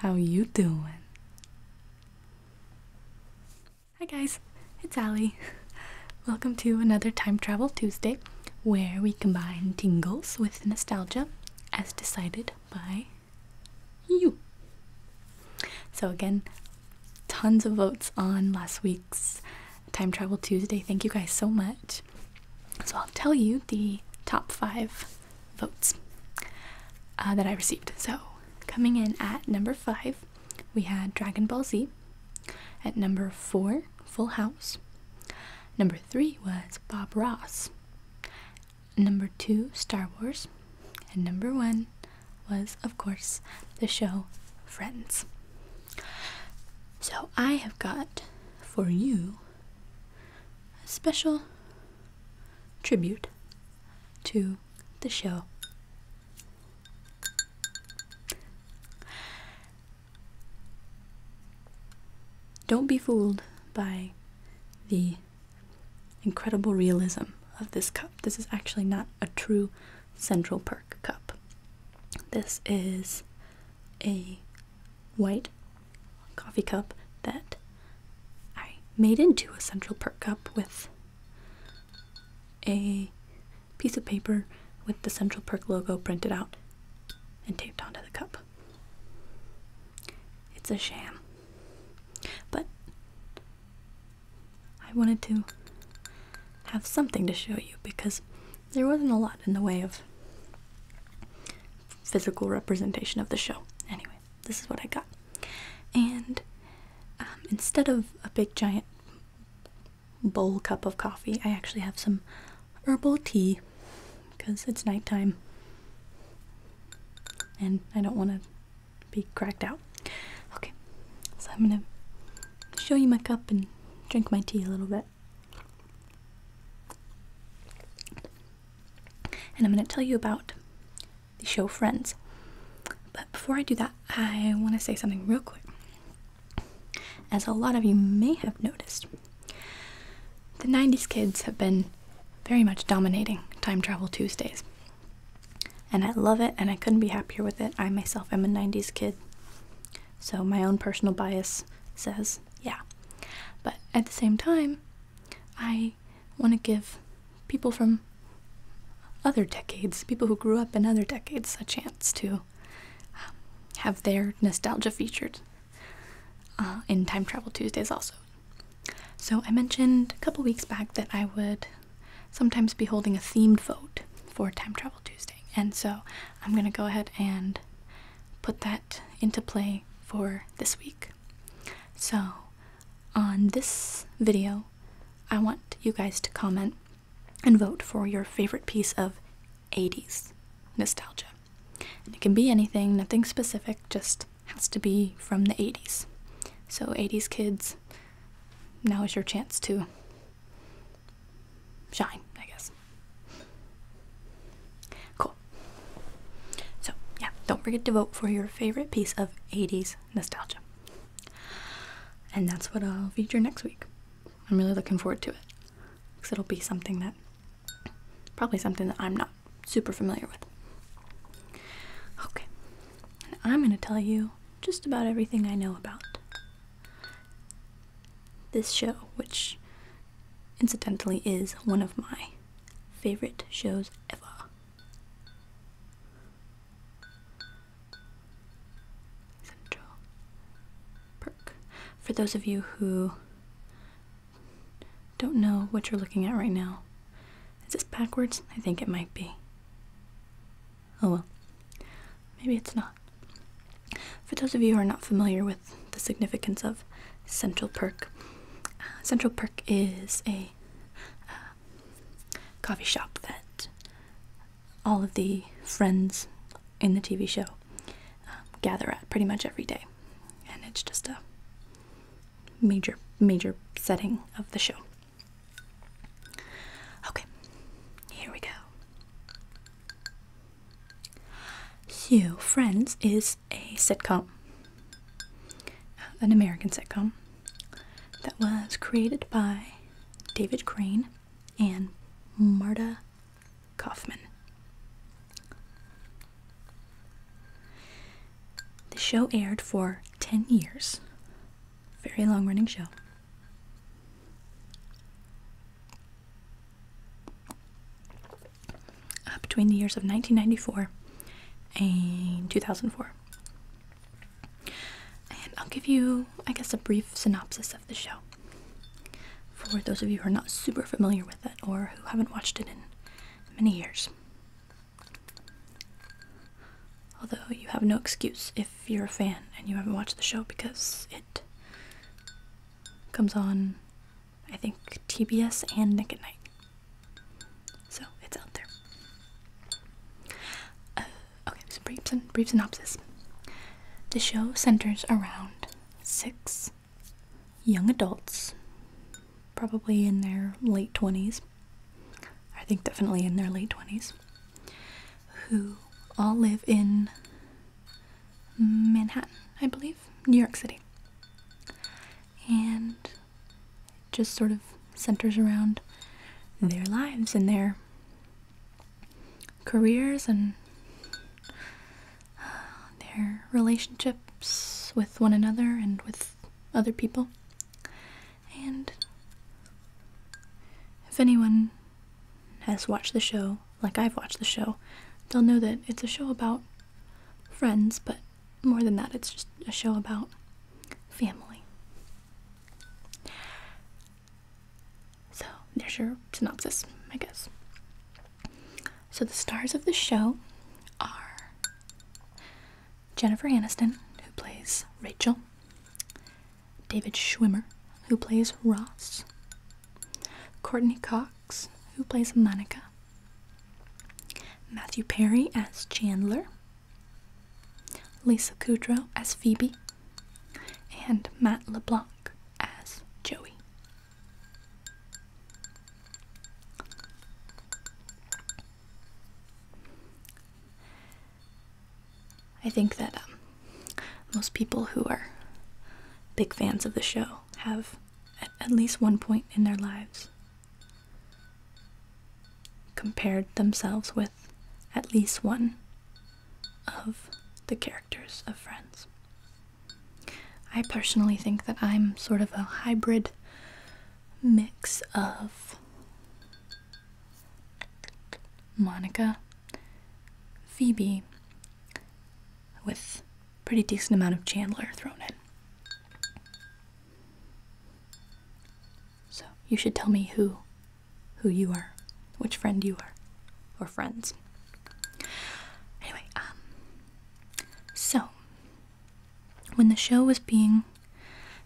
How you doing? Hi guys, it's Allie. Welcome to another Time Travel Tuesday where we combine tingles with nostalgia as decided by you. So again, tons of votes on last week's Time Travel Tuesday. Thank you guys so much. So I'll tell you the top five votes uh, that I received. So coming in at number five, we had Dragon Ball Z. At number four, Full House. Number three was Bob Ross number two, Star Wars, and number one was, of course, the show Friends. So I have got for you a special tribute to the show. Don't be fooled by the incredible realism of this cup. This is actually not a true Central Perk cup. This is a white coffee cup that I made into a Central Perk cup with a piece of paper with the Central Perk logo printed out and taped onto the cup. It's a sham. But I wanted to have something to show you because there wasn't a lot in the way of physical representation of the show. Anyway, this is what I got. And um, instead of a big giant bowl cup of coffee, I actually have some herbal tea because it's nighttime and I don't want to be cracked out. Okay, so I'm gonna show you my cup and drink my tea a little bit. And I'm gonna tell you about the show Friends. But before I do that, I wanna say something real quick. As a lot of you may have noticed, the 90s kids have been very much dominating Time Travel Tuesdays. And I love it, and I couldn't be happier with it. I myself am a 90s kid, so my own personal bias says, yeah. But at the same time, I want to give people from other decades, people who grew up in other decades, a chance to um, have their nostalgia featured uh, in Time Travel Tuesdays also. So, I mentioned a couple weeks back that I would sometimes be holding a themed vote for Time Travel Tuesday, and so I'm going to go ahead and put that into play for this week. So, on this video, I want you guys to comment and vote for your favorite piece of 80s nostalgia. And it can be anything, nothing specific, just has to be from the 80s. So, 80s kids, now is your chance to shine, I guess. Cool. So, yeah, don't forget to vote for your favorite piece of 80s nostalgia. And that's what I'll feature next week. I'm really looking forward to it because it'll be something that, probably something that I'm not super familiar with. Okay, and I'm going to tell you just about everything I know about this show, which incidentally is one of my favorite shows ever. Central Perk. For those of you who don't know what you're looking at right now, is this backwards? I think it might be. Oh well. Maybe it's not. For those of you who are not familiar with the significance of Central Perk, uh, Central Perk is a uh, coffee shop that all of the friends in the TV show uh, gather at pretty much every day. And it's just a major major setting of the show. Okay, here we go. So, Friends is a sitcom, an American sitcom that was created by David Crane and Marta Kaufman. The show aired for 10 years. Very long running show. between the years of 1994 and 2004. And I'll give you, I guess, a brief synopsis of the show for those of you who are not super familiar with it or who haven't watched it in many years. Although you have no excuse if you're a fan and you haven't watched the show because it comes on, I think, TBS and Nick at Night. So it's out there. Uh, okay, so brief synopsis. The show centers around six young adults probably in their late 20s, I think definitely in their late 20s, who all live in Manhattan, I believe, New York City. And just sort of centers around their lives and their careers and uh, their relationships with one another and with other people. And if anyone has watched the show, like I've watched the show, they'll know that it's a show about friends, but more than that, it's just a show about family. So, there's your synopsis, I guess. So, the stars of the show are Jennifer Aniston, who plays Rachel, David Schwimmer, who plays Ross, Courtney Cox, who plays Monica, Matthew Perry as Chandler, Lisa Kudrow as Phoebe, and Matt LeBlanc as Joey. I think that um, most people who are big fans of the show have at least one point in their lives compared themselves with at least one of the characters of Friends. I personally think that I'm sort of a hybrid mix of Monica, Phoebe, with pretty decent amount of Chandler thrown in. So you should tell me who who you are, which friend you are, or friends. Anyway, um so when the show was being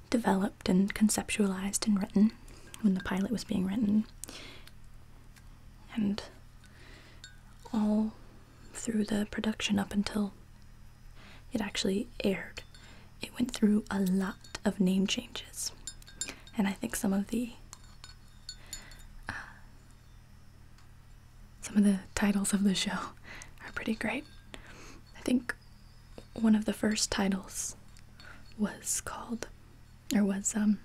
developed and conceptualized and written, when the pilot was being written, and all through the production up until it actually aired, it went through a lot of name changes. And I think some of the uh, some of the titles of the show are pretty great. I think one of the first titles was called or was um,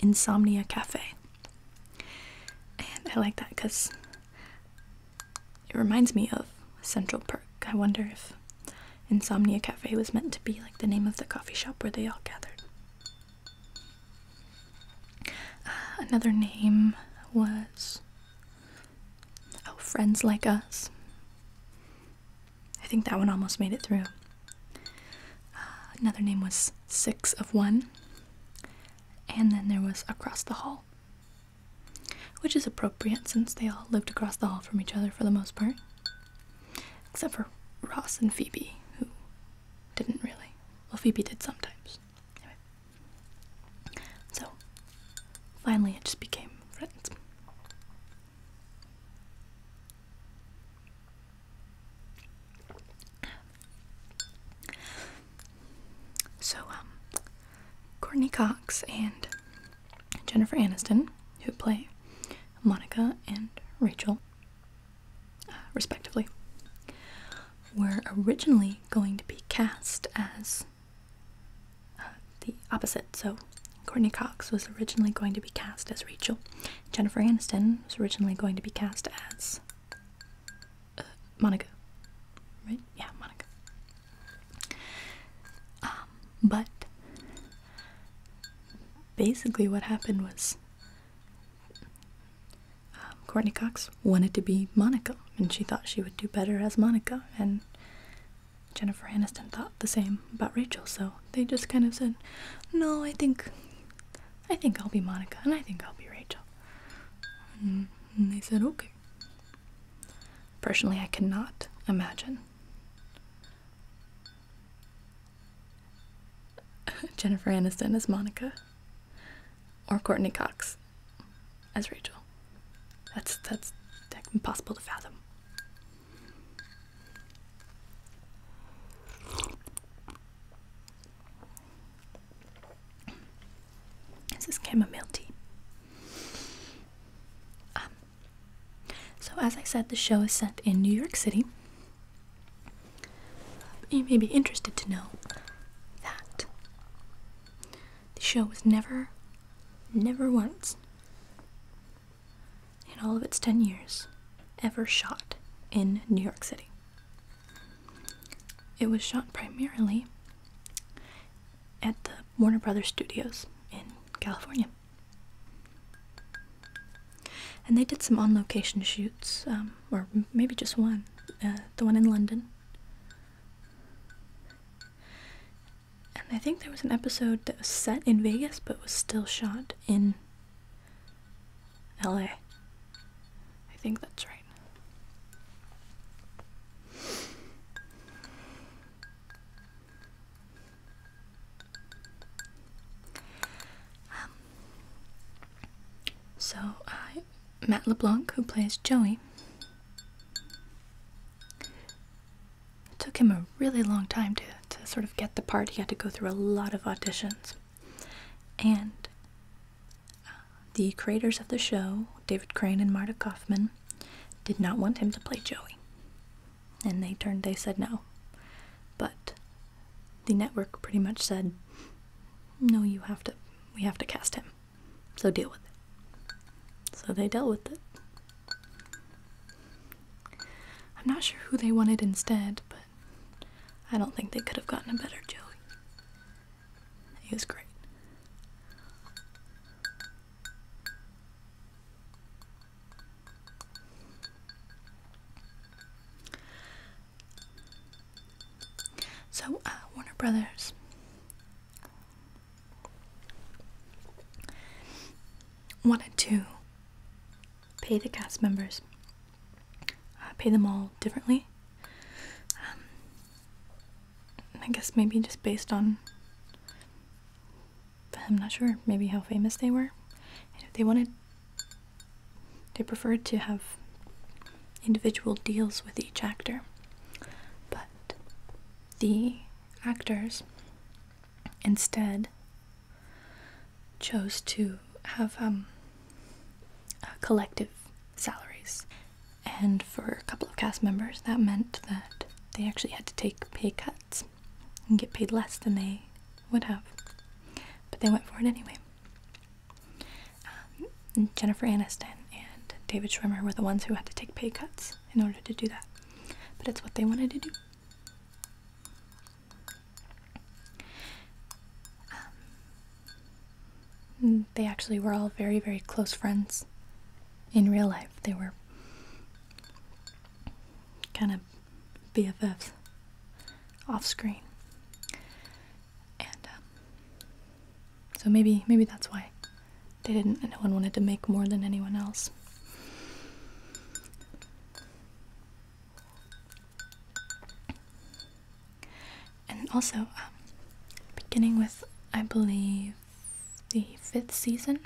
Insomnia Cafe. And I like that because it reminds me of Central Park. I wonder if Insomnia Cafe was meant to be like the name of the coffee shop where they all gathered. Uh, another name was Oh, Friends Like Us. I think that one almost made it through. Uh, another name was Six of One. And then there was Across the Hall, which is appropriate since they all lived across the hall from each other for the most part. Except for Ross and Phoebe, who didn't really. Well, Phoebe did sometimes. Anyway. So, finally, it just became friends. So, um, Courtney Cox and Jennifer Aniston, who play Monica and Rachel, uh, respectively, were originally going to be cast as uh, the opposite. So Courtney Cox was originally going to be cast as Rachel. Jennifer Aniston was originally going to be cast as uh, Monica. Right? Yeah, Monica. Um, but basically, what happened was um, Courtney Cox wanted to be Monica, and she thought she would do better as Monica, and Jennifer Aniston thought the same about Rachel, so they just kind of said, "No, I think, I think I'll be Monica, and I think I'll be Rachel." And, and they said, "Okay." Personally, I cannot imagine Jennifer Aniston as Monica or Courtney Cox as Rachel. That's that's impossible to fathom. This is chamomile tea. Um, so, as I said, the show is set in New York City. You may be interested to know that the show was never never once, in all of its 10 years, ever shot in New York City. It was shot primarily at the Warner Brothers Studios in California. And they did some on location shoots, um, or maybe just one, uh, the one in London. And I think there was an episode that was set in Vegas but was still shot in LA. I think that's right. Um, so, uh, Matt LeBlanc, who plays Joey, it took him a really long time to, to sort of get the part. He had to go through a lot of auditions. And uh, the creators of the show, David Crane and Marta Kaufman, did not want him to play Joey. And they turned, they said no. But the network pretty much said, no, you have to, we have to cast him. So deal with it. So they dealt with it. I'm not sure who they wanted instead, but I don't think they could have gotten a better Joey. He was great. So, uh, Warner Brothers wanted to pay the cast members, uh, pay them all differently. Um, I guess maybe just based on, I'm not sure, maybe how famous they were. they wanted, they preferred to have individual deals with each actor. But the actors instead chose to have um, uh, collective salaries. And for a couple of cast members, that meant that they actually had to take pay cuts and get paid less than they would have. But they went for it anyway. Um, Jennifer Aniston and David Schwimmer were the ones who had to take pay cuts in order to do that. But it's what they wanted to do. Um, they actually were all very, very close friends in real life. They were kind of BFFs off screen. And um, so maybe maybe that's why they didn't. No one wanted to make more than anyone else. And also, um, beginning with I believe the fifth season,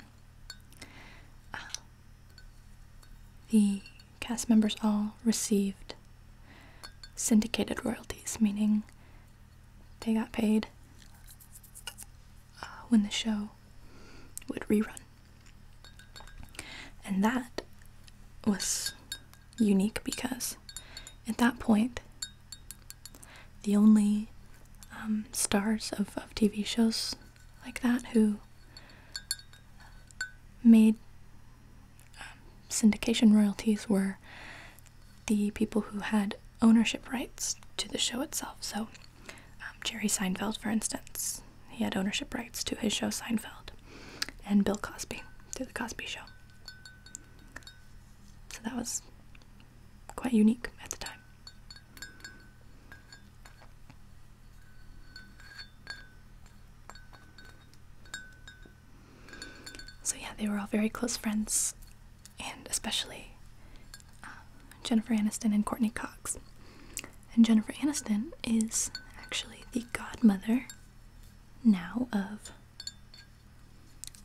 uh, the cast members all received syndicated royalties, meaning they got paid uh, when the show would rerun. And that was unique because at that point, the only um, stars of, of TV shows like that who made um, syndication royalties were the people who had ownership rights to the show itself. So, um, Jerry Seinfeld, for instance, he had ownership rights to his show Seinfeld, and Bill Cosby to the Cosby Show. So that was quite unique at the time. So, yeah, they were all very close friends and especially um, Jennifer Aniston and Courtney Cox. And Jennifer Aniston is actually the godmother now of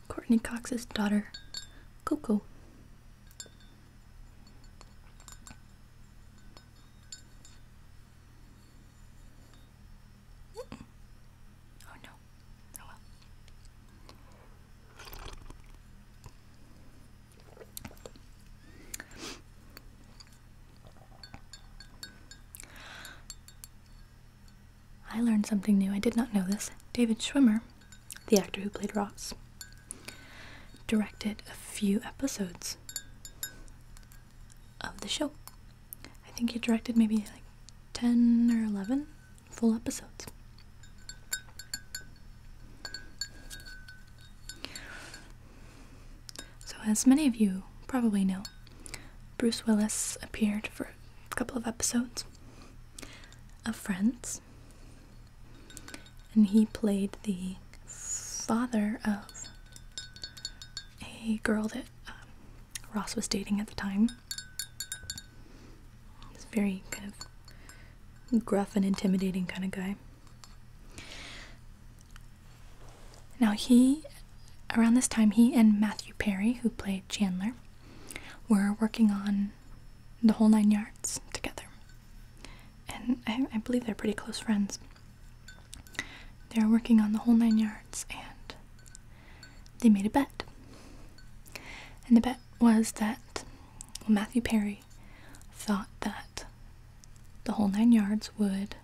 Courtney Cox's daughter, Coco. Oh no. Oh well. I learned something new. I did not know this. David Schwimmer, the actor who played Ross, directed a few episodes of the show. I think he directed maybe like 10 or 11 full episodes. So, as many of you probably know, Bruce Willis appeared for a couple of episodes of Friends, and he played the father of a girl that uh, Ross was dating at the time. He's very kind of gruff and intimidating kind of guy. Now he, around this time, he and Matthew Perry, who played Chandler, were working on the whole nine yards together. And I, believe they're pretty close friends. they were working on the whole nine yards and they made a bet. And the bet was that Matthew Perry thought that the whole nine yards would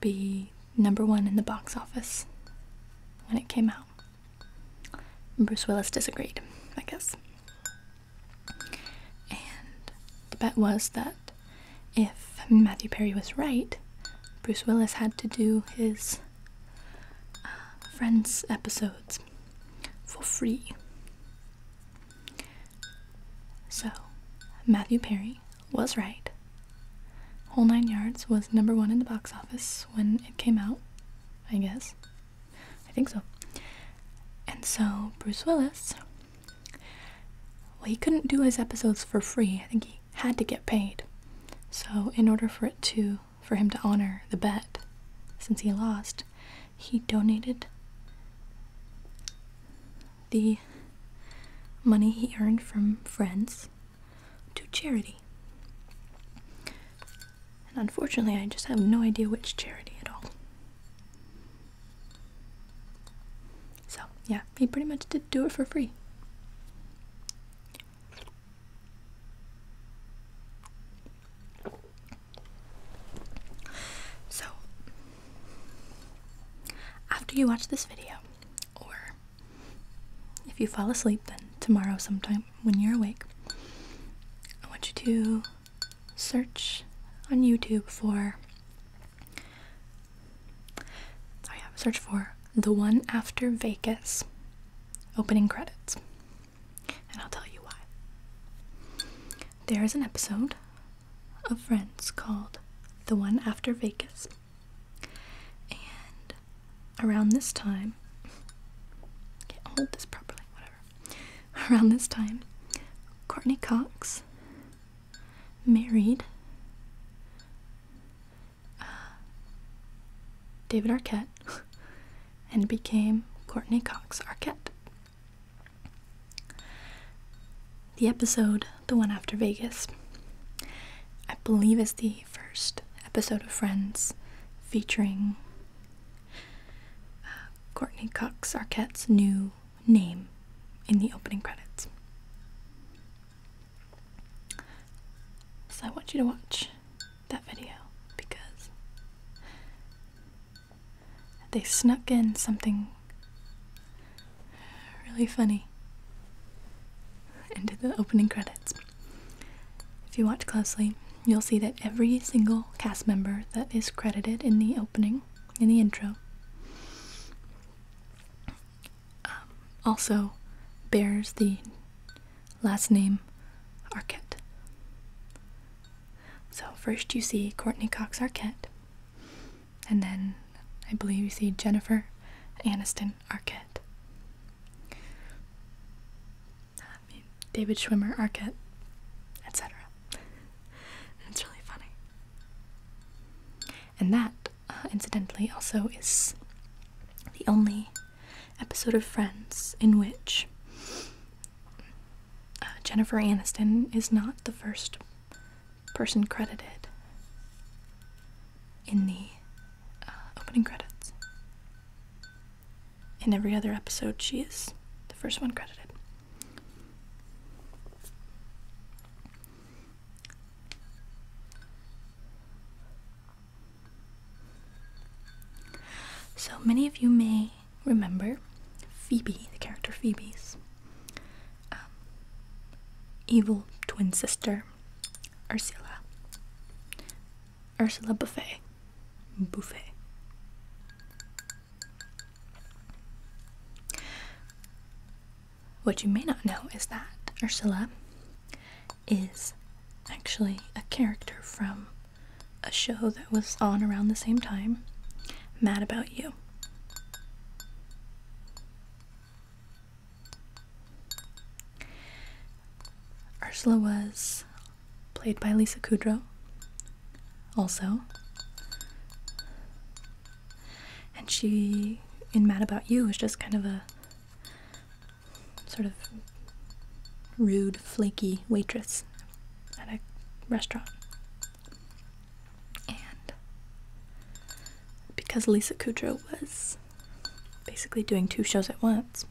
be number one in the box office when it came out. Bruce Willis disagreed, I guess. And the bet was that if Matthew Perry was right, Bruce Willis had to do his Friends episodes for free. So, Matthew Perry was right. Whole Nine Yards was number one in the box office when it came out, I guess. I think so. And so, Bruce Willis, well, he couldn't do his episodes for free. I think he had to get paid. So, in order for it to for him to honor the bet since he lost, he donated the money he earned from friends to charity. And unfortunately, I just have no idea which charity at all. So, yeah, he pretty much did do it for free. So, after you watch this video, or if you fall asleep, then tomorrow sometime when you're awake, I want you to search on YouTube for. Sorry, yeah, search for The One After Vegas opening credits and I'll tell you why. There is an episode of Friends called The One After Vegas, and around this time, can't hold this properly, whatever. Around this time, Courtney Cox married. Uh, David Arquette and became Courtney Cox Arquette. The episode, the one after Vegas, I believe is the first episode of Friends featuring uh, Courtney Cox Arquette's new name in the opening credits. So I want you to watch that video because they snuck in something really funny into the opening credits. If you watch closely, you'll see that every single cast member that is credited in the opening, in the intro, um, also bears the Last name Arquette. So first you see Courtney Cox Arquette, and then I believe you see Jennifer Aniston Arquette. David Schwimmer Arquette, etc. it's really funny. And that, uh, incidentally, also is the only episode of Friends in which uh, Jennifer Aniston is not the first person credited in the uh, opening credits. In every other episode, she is the first one credited. So many of you may remember Phoebe, the character Phoebe's um, evil twin sister, Ursula. Ursula Buffet. Buffet. What you may not know is that Ursula is actually a character from a show that was on around the same time, Mad About You. Ursula was played by Lisa Kudrow, also. And she, in Mad About You, was just kind of a sort of rude, flaky waitress at a restaurant. And because Lisa Kudrow was basically doing two shows at once,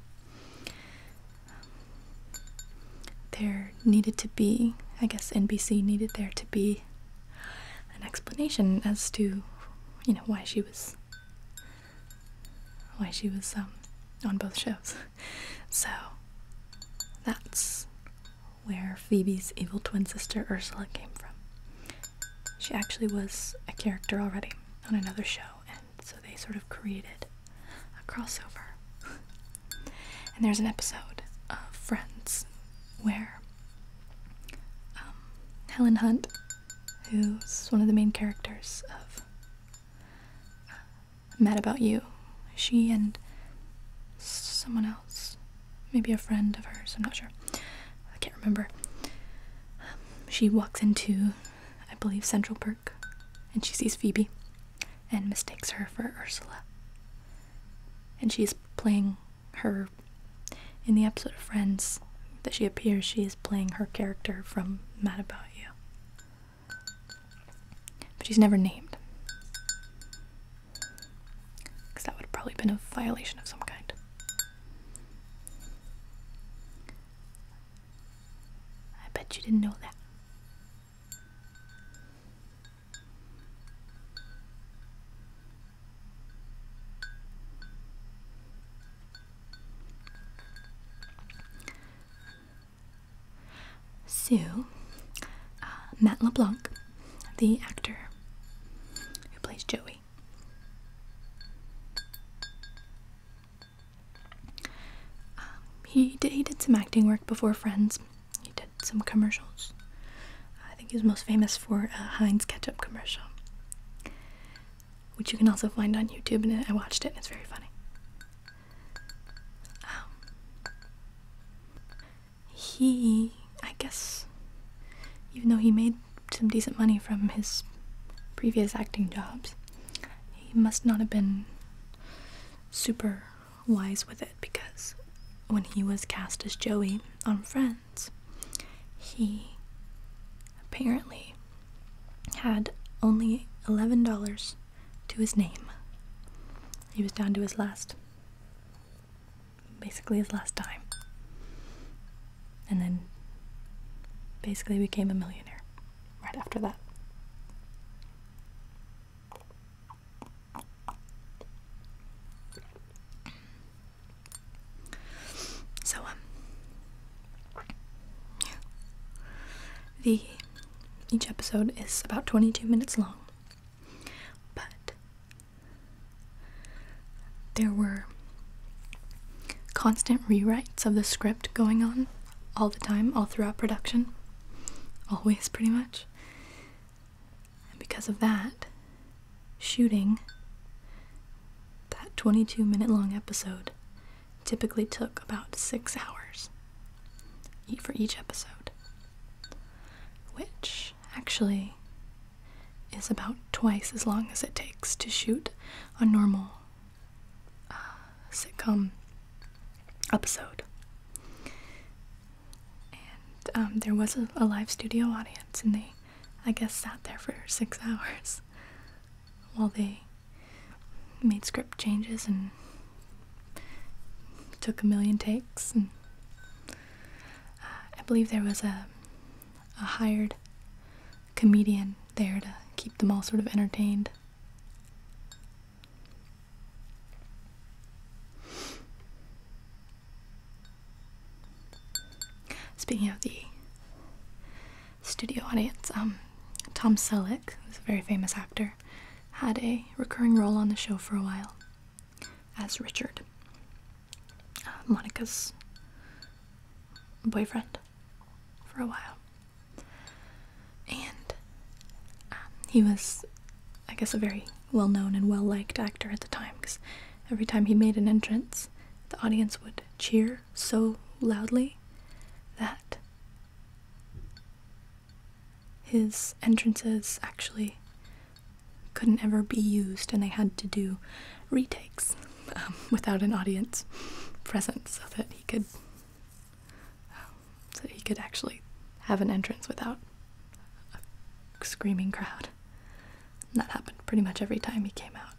there needed to be, I guess NBC needed there to be an explanation as to, you know, why she was why she was um, on both shows. So that's where Phoebe's evil twin sister Ursula came from. She actually was a character already on another show, and so they sort of created a crossover. and there's an episode of Friends where um, Helen Hunt, who's one of the main characters of mad about you. She and someone else, maybe a friend of hers, I'm not sure. I can't remember. She walks into, I believe, Central Park, and she sees Phoebe and mistakes her for Ursula. And she's playing her, in the episode of Friends that she appears, she is playing her character from Mad About You. But she's never named. Because that would have probably been a violation of some kind. I bet you didn't know that. Sue, uh, Matt LeBlanc, the actor who plays Joey, um, he did he did some acting work before Friends. He did some commercials. I think he was most famous for a Heinz ketchup commercial which you can also find on YouTube, and I watched it, and it's very funny. Um, he, I guess, even though he made some decent money from his previous acting jobs, he must not have been super wise with it because when he was cast as Joey on Friends, he apparently had only $11 to his name. He was down to his last, basically his last dime. And then basically became a millionaire right after that. So, um, the each episode is about 22 minutes long. But there were constant rewrites of the script going on all the time, all throughout production. Always pretty much. And because of that, shooting that 22 minute long episode typically took about six hours for each episode, which actually is about twice as long as it takes to shoot a normal uh, sitcom episode. And um, there was a live studio audience, and they, I guess, sat there for six hours while they made script changes and took a million takes. And uh, I believe there was a, a hired comedian there to keep them all sort of entertained. Speaking of the studio audience. Um, Tom Selleck, who's a very famous actor, had a recurring role on the show for a while as Richard, uh, Monica's boyfriend, for a while. And um, he was, I guess, a very well known and well liked actor at the time because every time he made an entrance, the audience would cheer so loudly that his entrances actually couldn't ever be used, and they had to do retakes um, without an audience present, so that he could, so he could actually have an entrance without a screaming crowd. that happened pretty much every time he came out.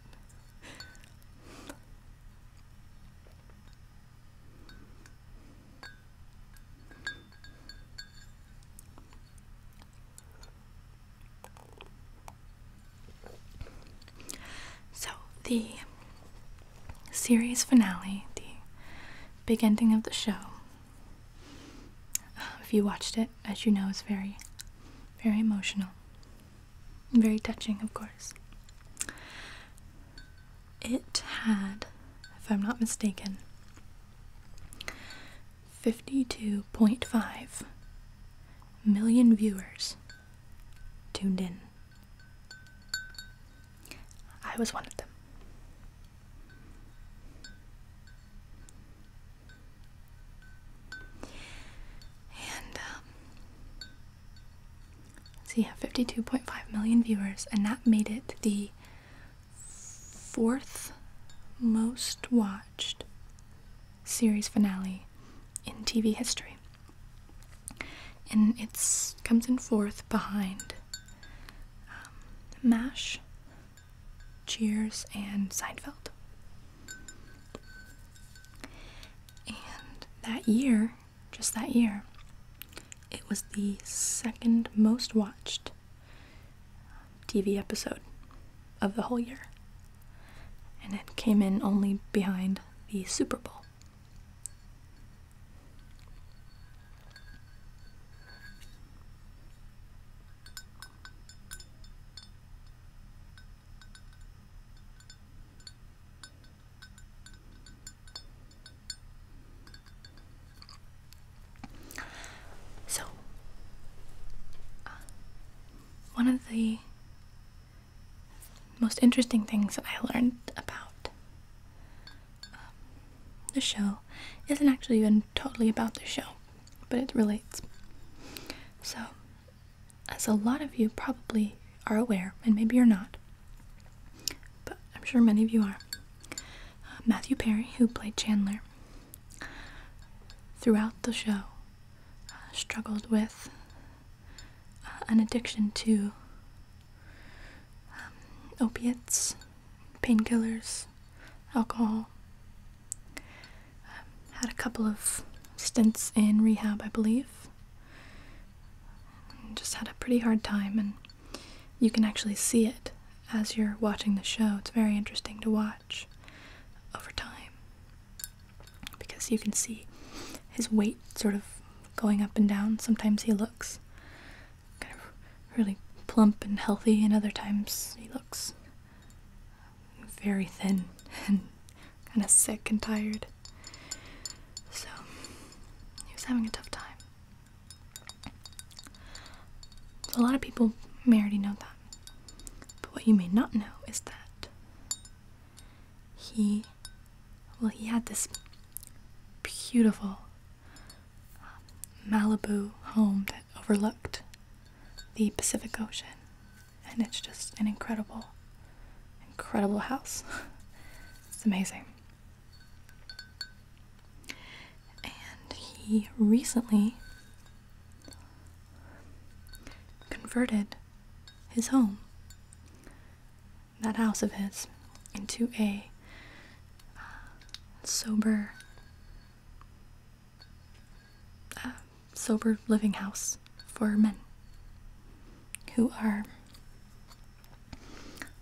So, the series finale, the big ending of the show, uh, if you watched it, as you know, is very, very emotional. Very touching, of course. It had, if I'm not mistaken, 52.5 million viewers tuned in. I was one of them. And um, so you have 52.5 million viewers, and that made it the fourth most watched series finale in TV history. And it comes in fourth behind um, MASH, Cheers, and Seinfeld. And that year, just that year. It was the second most watched TV episode of the whole year. And it came in only behind the Super Bowl. So, uh, one of the most interesting things that I learned about um, the show isn't actually even totally about the show, but it relates. So, as a lot of you probably are aware, and maybe you're not, but I'm sure many of you are. Uh, Matthew Perry, who played Chandler, throughout the show uh, struggled with uh, an addiction to um, opiates, painkillers, alcohol. Um, had a couple of stints in rehab, I believe just had a pretty hard time, and you can actually see it as you're watching the show. It's very interesting to watch over time because you can see his weight sort of going up and down. Sometimes he looks kind of really plump and healthy, and other times he looks very thin and kind of sick and tired. So he was having a tough time. So a lot of people may already know that. But what you may not know is that he, well, he had this beautiful um, Malibu home that overlooked the Pacific Ocean. And it's just an incredible, incredible house. It's amazing. And he recently converted his home, that house of his, into a uh, sober, uh, sober living house for men who are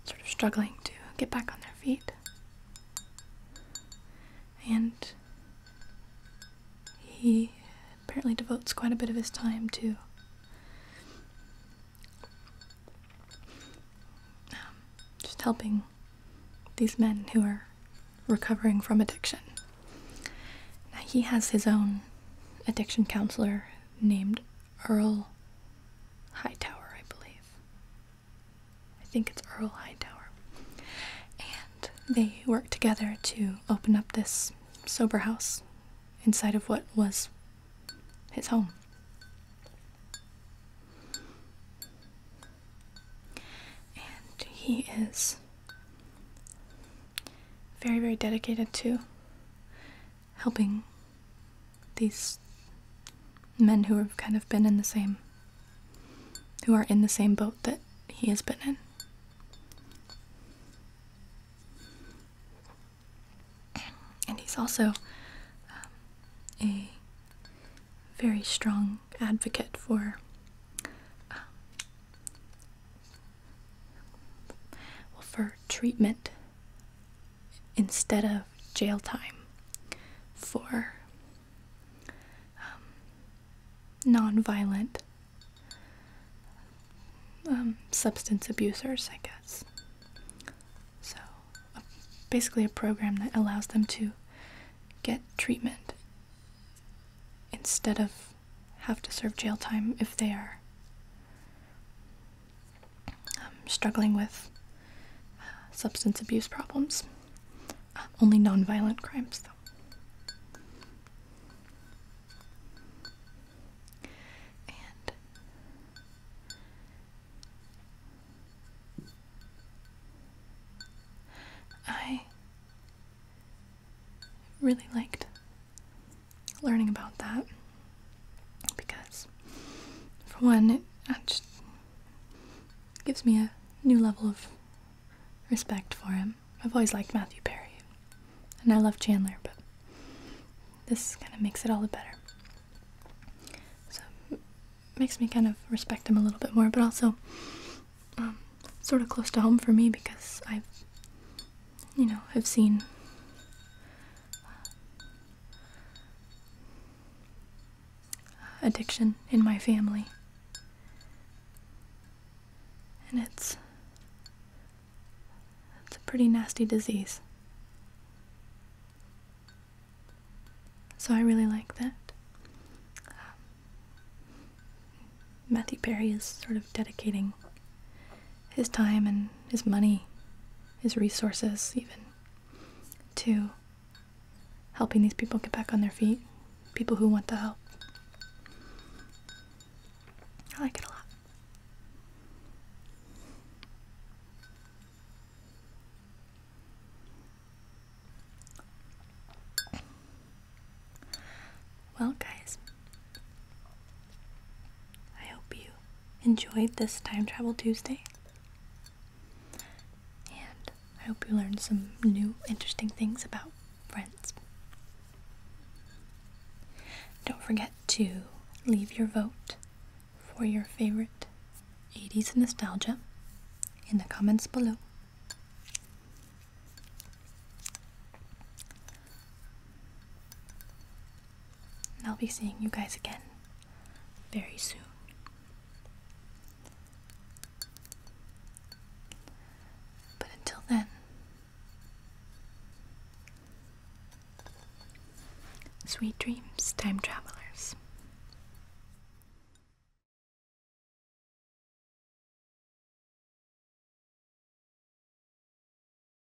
sort of struggling to get back on their feet. And he apparently devotes quite a bit of his time to um, just helping these men who are recovering from addiction. Now, he has his own addiction counselor named Earl Hightower, I believe. I think it's Earl Hightower. And they worked together to open up this sober house inside of what was his home. And he is very, very dedicated to helping these men who have kind of been in the same who are in the same boat that he has been in. And he's also um, a very strong advocate for um, well, for treatment instead of jail time for um, non-violent um, substance abusers, I guess. So, basically, a program that allows them to get treatment instead of have to serve jail time if they are um, struggling with uh, substance abuse problems. Uh, only non-violent crimes, though. I really liked learning about that because, for one, it just gives me a new level of respect for him. I've always liked Matthew Perry, and I love Chandler, but this kind of makes it all the better. So it makes me kind of respect him a little bit more, but also um, sort of close to home for me because I've you know, have seen addiction in my family. And it's it's a pretty nasty disease. So I really like that. Um, Matthew Perry is sort of dedicating his time and his money, his resources, even, to helping these people get back on their feet, people who want the help. I like it a lot. Well, guys, I hope you enjoyed this Time Travel Tuesday. And I hope you learned some new interesting things about friends. Don't forget to leave your vote for your favorite 80s nostalgia in the comments below. I'll be seeing you guys again very soon. But until then, sweet dreams, time travelers.